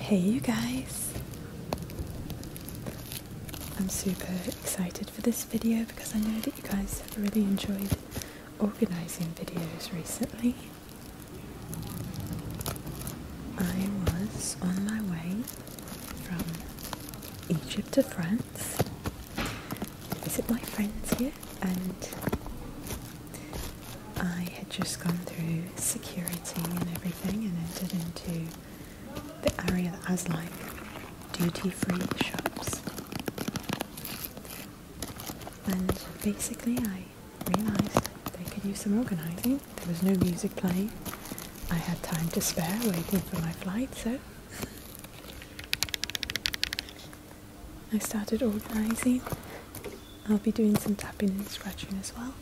Hey you guys! I'm super excited for this video because I know that you guys have really enjoyed organising videos recently. I was on my way from Egypt to France to visit my friends here and I had just gone through security and everything and entered into the area that was like duty free shops. And basically, I realised they could use some organising. There was no music playing. I had time to spare waiting for my flight, so I started organising. I'll be doing some tapping and scratching as well.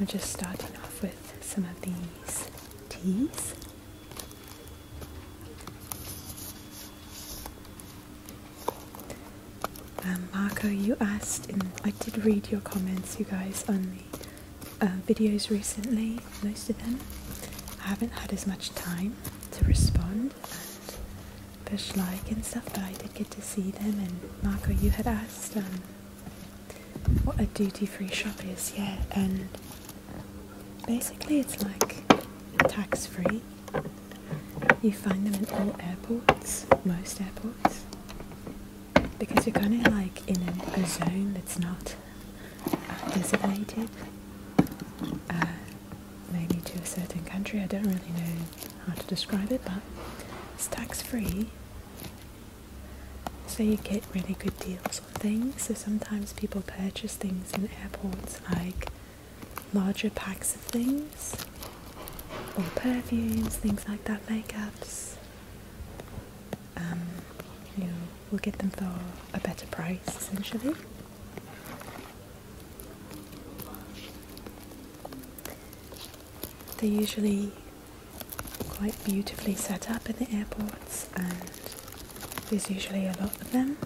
I'm just starting off with some of these teas. Um, Marco, you asked, and I did read your comments, you guys, on the uh, videos recently, most of them. I haven't had as much time to respond bush like and stuff, but I did get to see them. And Marco, you had asked um, what a duty free shop is, yeah, and basically it's like tax free. You find them in all airports, most airports, because you're kind of like in a, zone that's not designated. Uh, maybe to a certain country. I don't really know how to describe it, but it's tax free. So you get really good deals on things. So sometimes people purchase things in airports like larger packs of things or perfumes, things like that, makeups. Um, you will get them for a better price essentially. They're usually quite beautifully set up in the airports, and there's usually a lot of them.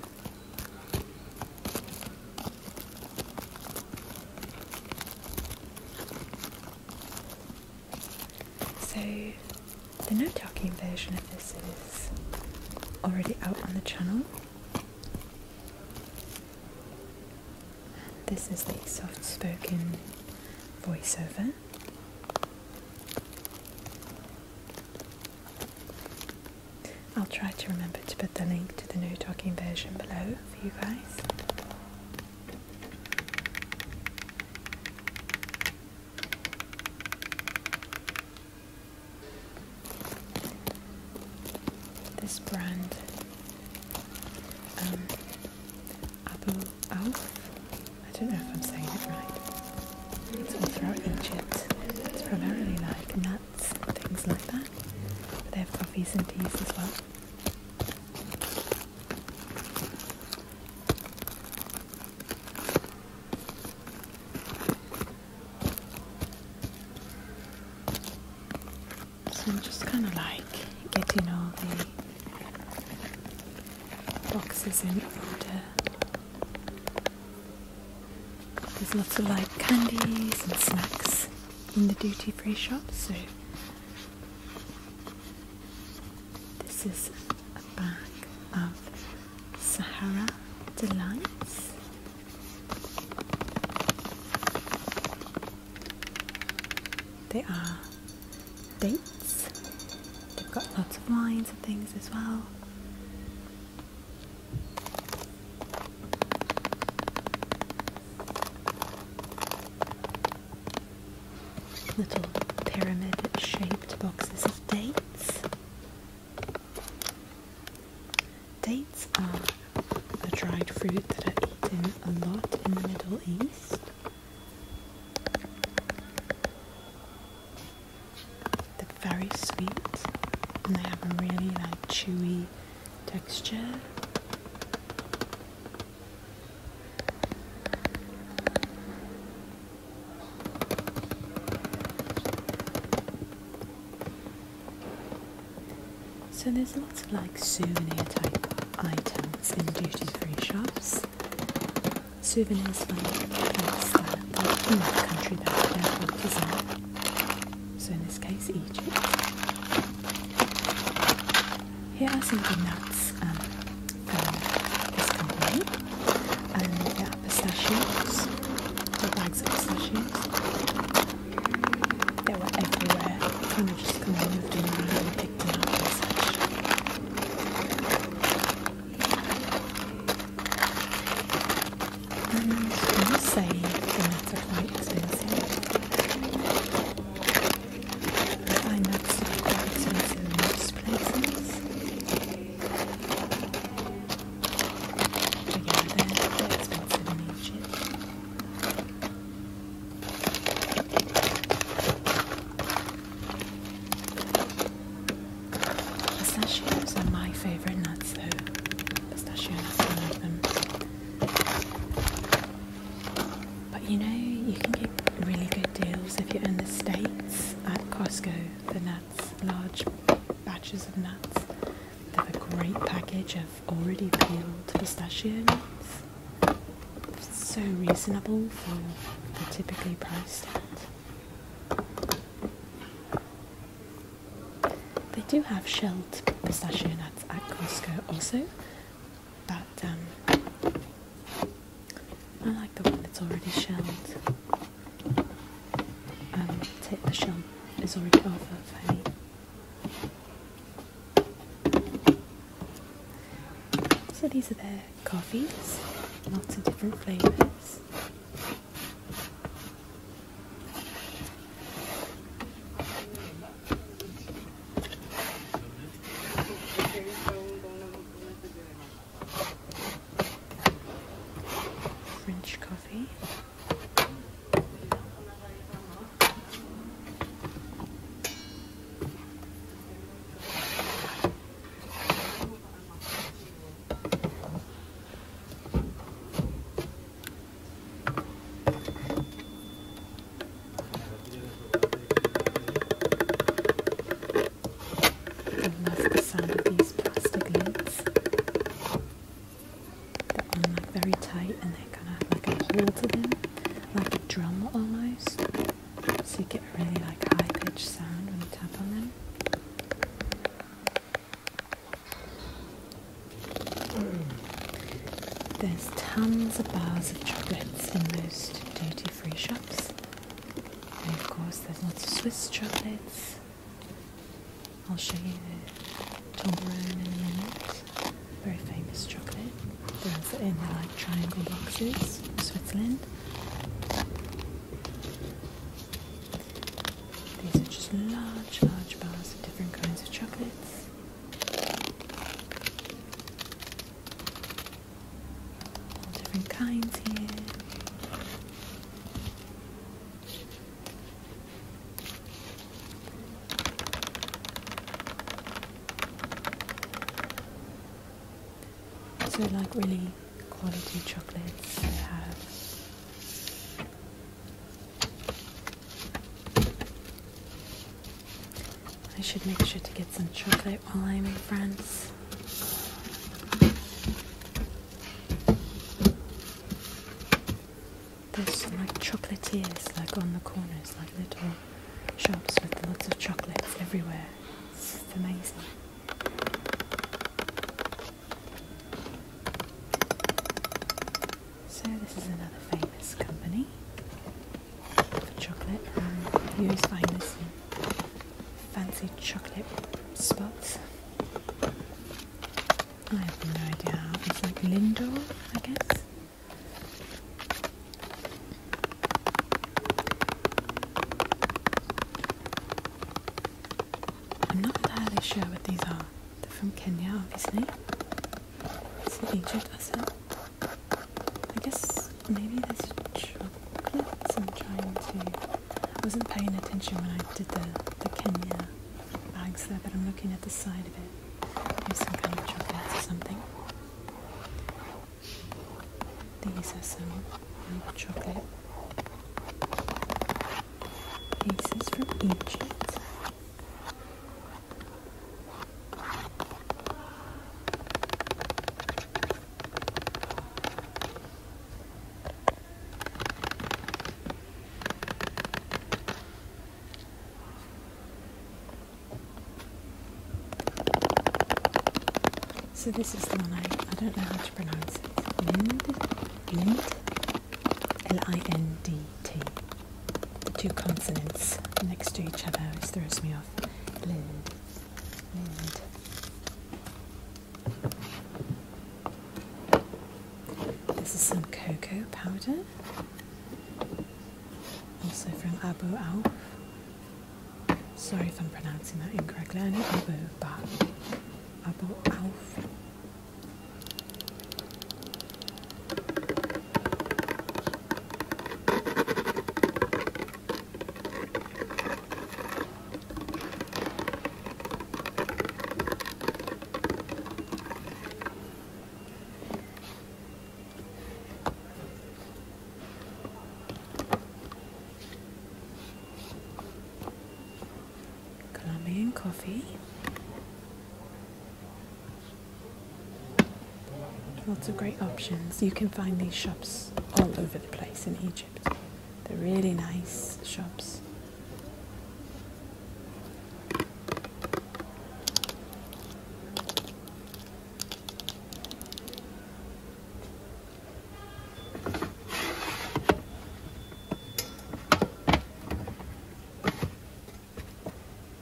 So, the no talking version of this is already out on the channel. This is the soft spoken voiceover. I'll try to remember to put the link to the new talking version below for you guys. This brand, um, Abu Auf. I don't know if I'm saying it right. It's all throughout Egypt. It's primarily like nuts, things like that. But they have coffees and teas as well. So I'm just kind of like getting all the boxes in order. There's lots of like candies and snacks in the duty free shop, so this is a bag of Sahara Delights. They are dates. They've got lots of lines and things as well. Little pyramid shaped boxes of dates. Dates are a dried fruit that are eaten a lot in the Middle East. They're very sweet and they have a really like chewy texture. So there's lots of like souvenir type items in duty free shops. Souvenirs like plates that in country that they're from represent. So in this case Egypt. Here are some good nuts um, from pistachios, bags of pistachios. They were everywhere. I kind of just kind of moved them around and picked them out and such. And I must say, the nuts are quite expensive. I find nuts to be quite expensive in most places. But yeah, they're expensive and ancient. Pistachios are my favorite nuts, though. Pistachios, nuts, I love them. But you know, you can get really good deals if you're in the States at Costco, the nut large batches of nuts. They have a great package of already peeled pistachios. so reasonable for the typically priced at. They do have shelled pistachio nuts at Costco also, but um, I like the one that's already shelled um, take the shell is already off of honey. So these are their coffees, lots of different flavours. French coffee. I love the sound of these plastic lids and like very tight and they kind of like a hole to them, like a drum almost. So you get a really like high pitched sound when you tap on them. There's tons of bars of chocolates in most duty free shops. And of course, there's lots of Swiss chocolates, I'll show you in a minute. very famous chocolate. They're in like triangle boxes from Switzerland. These are just large, large bars of different kinds of chocolates. All different kinds here. So like really quality chocolates I I should make sure to get some chocolate while I'm in France. There's like chocolatiers like on the corners, like little shops with lots of chocolates everywhere. It's amazing. So this is another famous company for chocolate. Um, you always find this fancy chocolate spots. I have no idea. It's like Lindor, I guess. I'm not entirely sure what these are. They're from Kenya, obviously. Is it Egypt I guess maybe there's chocolates I'm trying to I wasn't paying attention when I did the, Kenya bags there, but I'm looking at the side of it. There's some kind of chocolates or something. These are some milk chocolate pieces from Egypt. So this is the one I, I don't know how to pronounce it. Lind, L-I-N-D-T. The two consonants next to each other always throws me off. Lind, lind. This is some cocoa powder, also from Abu Auf. Sorry if I'm pronouncing that incorrectly. I know Abu, but Abu Auf. Colombian coffee. Lots of great options. You can find these shops all over the place in Egypt. They're really nice shops.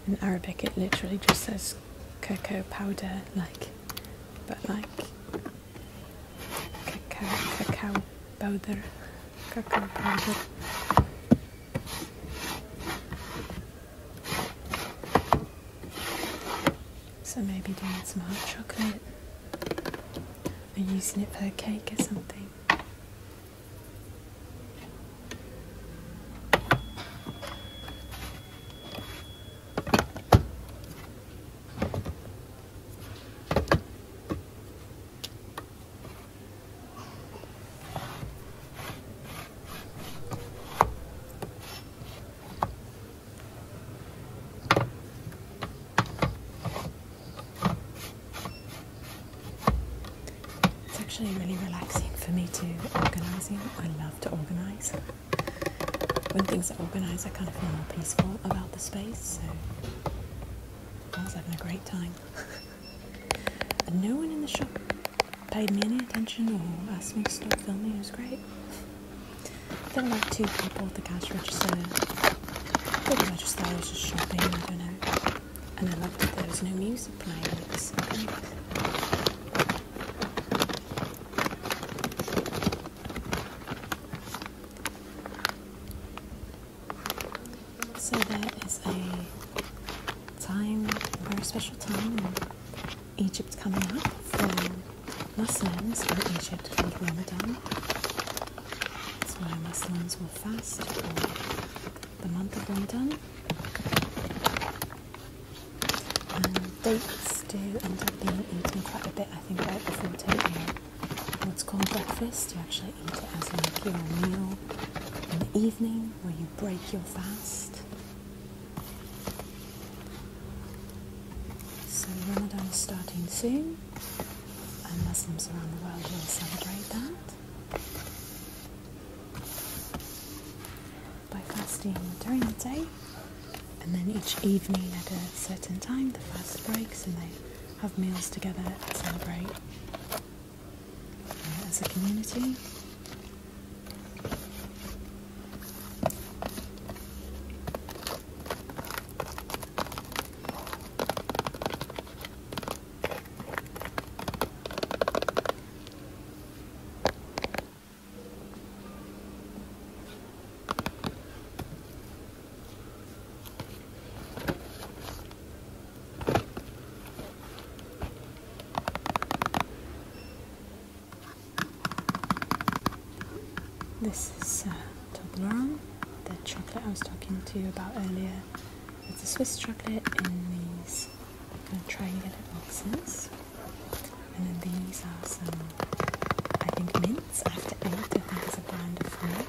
In Arabic it literally just says cocoa powder like but like cacao, powder, So maybe doing some hot chocolate and using it for a cake or something. It's actually really relaxing for me to organise. I love to organize. When things are organized, I kind of feel more peaceful about the space. I was having a great time. no one in the shop paid me any attention or asked me to stop filming. It was great. There were like two people at the cash register. Probably I just thought I was just shopping, I don't know. And I loved that there was no music playing. It was so so that is a time, a very special time in Egypt coming up for Muslims in Egypt called Ramadan. That's why Muslims will fast for the month of Ramadan. And dates do end up being eaten quite a bit, I think, right before taking what's called breakfast. You actually eat it as a meal in the evening where you break your fast. So Ramadan is starting soon, and Muslims around the world will celebrate that by fasting during the day, and then each evening at a certain time the fast breaks and they have meals together, celebrate uh, as a community. This is uh, Toblerone, the chocolate I was talking to you about earlier. It's a Swiss chocolate in these triangular boxes. And then these are some, I think, mint minutes after 8 and that is a brand of white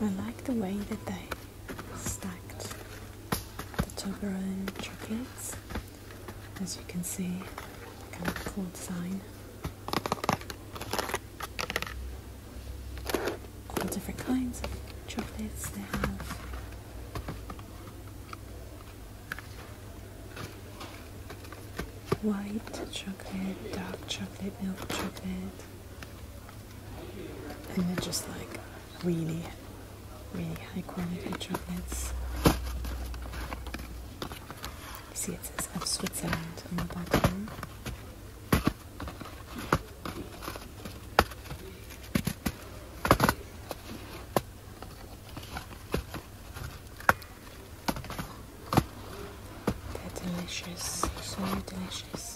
I like the way that they stacked the Toblerone chocolates. As you can see, kind of cool design. All different kinds of chocolates they have. White chocolate, dark chocolate, milk chocolate, and they're just like really, really high quality chocolates. See, it says of Switzerland on the bottom. They're delicious, so delicious.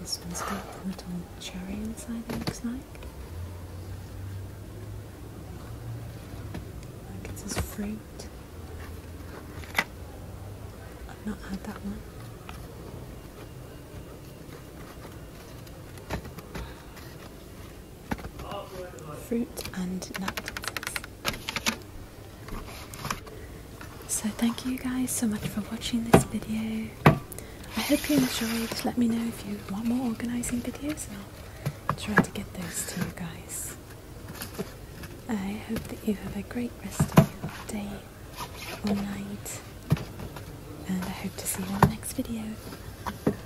This one's got a little cherry inside, it looks like. Like it fruit. not that one. fruit and nuts. So thank you guys so much for watching this video. I hope you enjoyed. Let me know if you want more organising videos and I'll try to get those to you guys. I hope that you have a great rest of your day or night and I hope to see you in the next video.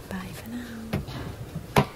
Bye for now.